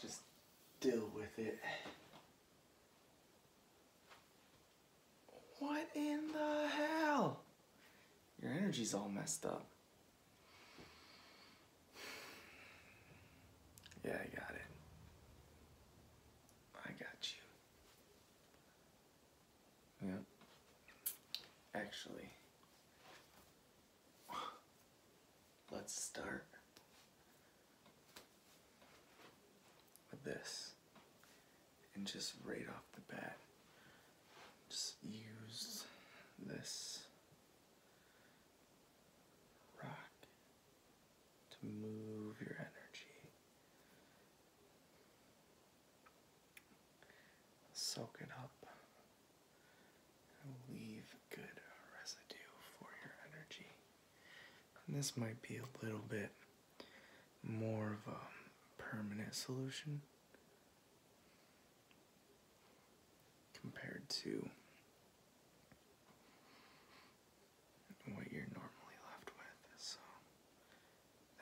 Just deal with it. What in the hell? Your energy's all messed up. Yeah, I got it. I got you. Yeah. Actually, let's start with this. And just right off the bat, just use this rock to move your energy. Soak it up leave good residue for your energy. And this might be a little bit more of a permanent solution compared to what you're normally left with. So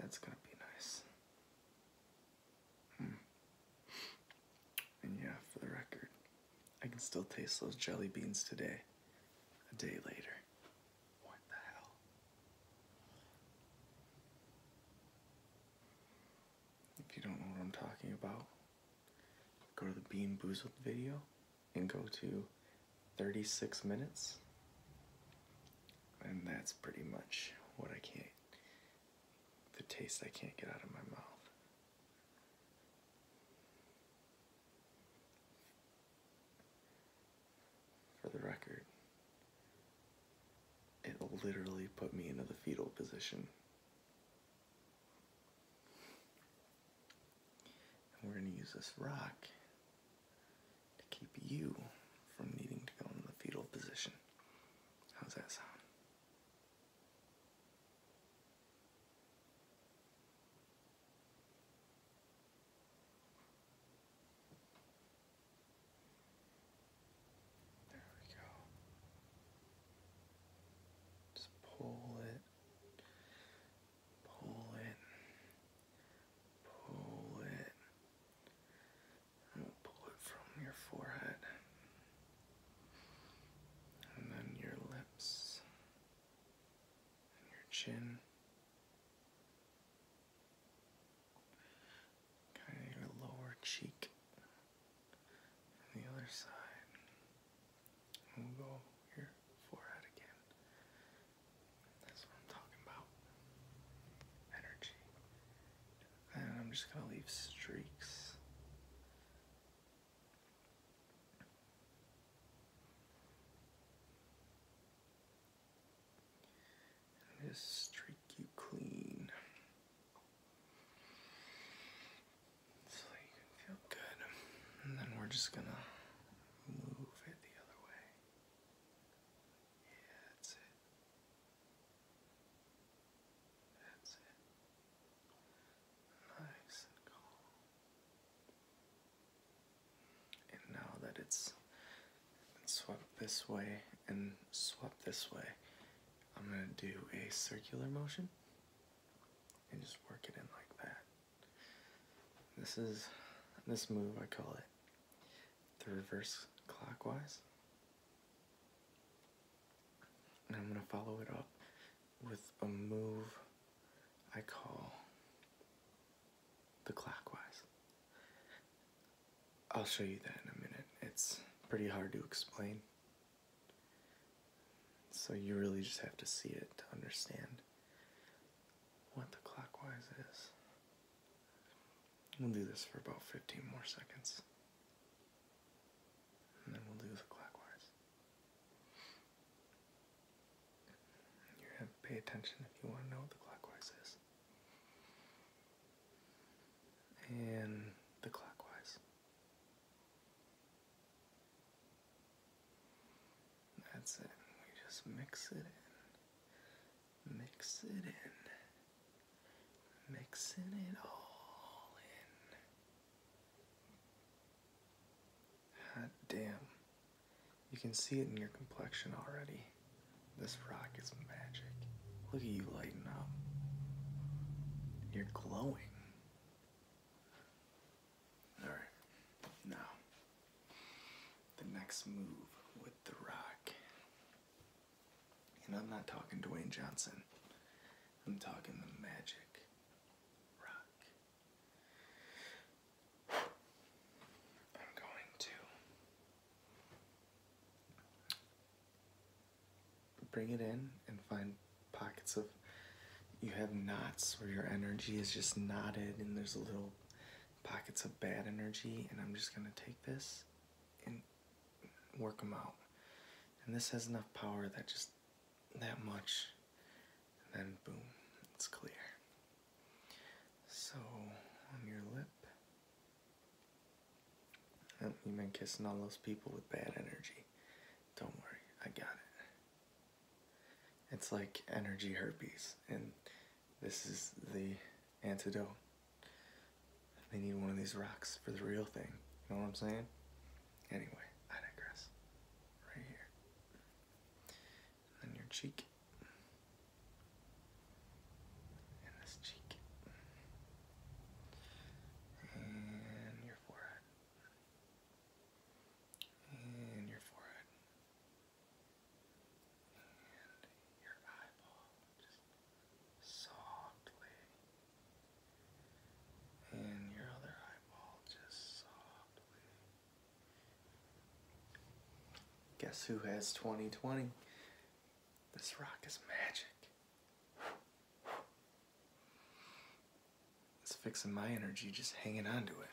that's going to be nice. Hmm. And yeah, for the record, I can still taste those jelly beans today, a day later. What the hell? If you don't know what I'm talking about, go to the Bean Boozled video and go to 36 minutes. And that's pretty much what I can't the taste I can't get out of my mouth. For the record, it literally put me into the fetal position. And we're going to use this rock to keep you from needing to go into the fetal position. How's that sound? There we go. Just pull it, pull it, pull it, we'll pull it from your forehead and then your lips and your chin. Kind of your lower cheek and the other side. And we'll go your forehead again. That's what I'm talking about. Energy and I'm just going to leave streaks. just streak you clean. So you can feel good. And then we're just going to move it the other way. Yeah, that's it. That's it. Nice and calm. And now that it's this way and swept this way, I'm going to do a circular motion and just work it in like that. This is this move I call it the reverse clockwise. And I'm going to follow it up with a move I call the clockwise. I'll show you that in a minute. It's pretty hard to explain. So you really just have to see it to understand what the clockwise is. We'll do this for about 15 more seconds. And then we'll do the clockwise. pay attention if you want to know what the clockwise is. And the clockwise. That's it. We just mix it Mix it in. Mixing it all in. God damn. You can see it in your complexion already. This rock is magic. Look at you lighting up. You're glowing. Alright, now the next move with The Rock. And I'm not talking Dwayne Johnson, I'm talking the magic rock. I'm going to bring it in and find pockets of. You have knots where your energy is just knotted and there's a little pockets of bad energy, and I'm just going to take this and work them out. And this has enough power that just that much, and then boom, it's clear. So, on your lip, oh, you've been kissing all those people with bad energy. Don't worry, I got it. It's like energy herpes, and this is the antidote. They need one of these rocks for the real thing. You know what I'm saying? Anyway, I digress. Right here. And your cheek. And this cheek. And your forehead. And your forehead and your eyeball just softly, and your other eyeball just softly. Guess who has 2020? This rock is magic. It's fixing my energy just hanging on to it.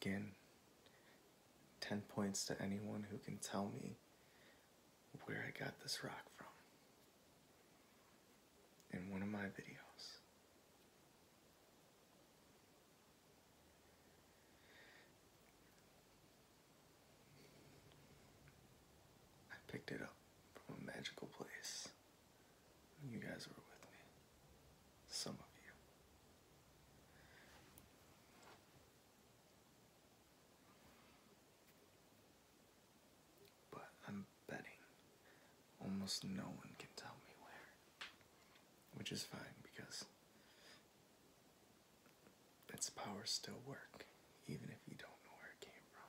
Again, 10 points to anyone who can tell me where I got this rock from in one of my videos. I picked it up from a magical place. You guys were with me. Some of you. But I'm betting almost no one can tell me where. Which is fine because its powers still work, even if you don't know where it came from.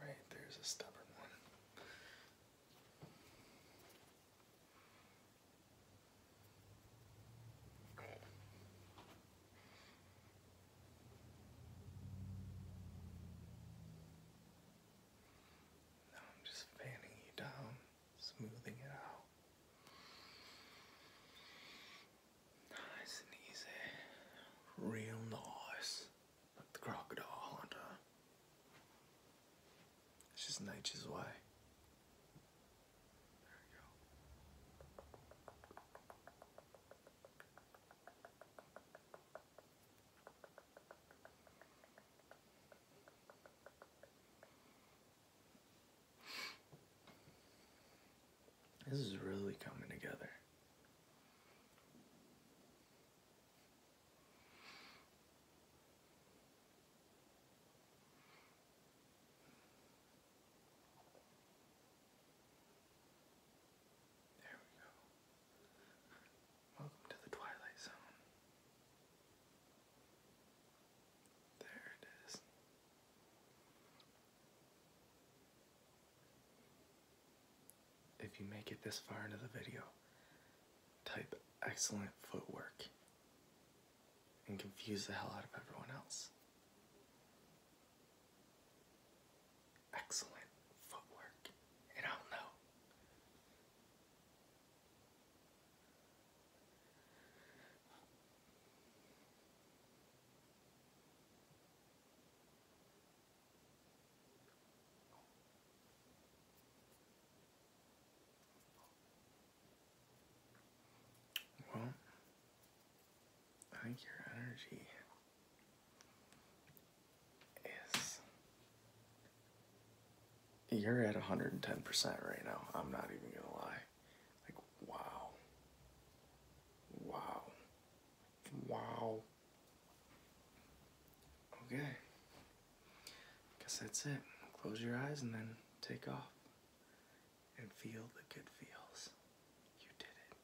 Right, there's a stubborn one. Now I'm just fanning you down, smoothing it out. Nice and easy. Real nice like the crocodile hunter. It's just nature's way. This is really coming together. There we go. Welcome to the Twilight Zone. There it is. If you make it this far into the video, type excellent footwork and confuse the hell out of everyone else. Excellent footwork, and I'll know. Well, I think your energy is. You're at 110% right now. I'm not even going to lie. Like, wow. Wow. Wow. Okay. Guess that's it. Close your eyes and then take off. And feel the good feels. You did it.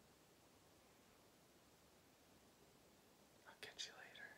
I'll catch you later.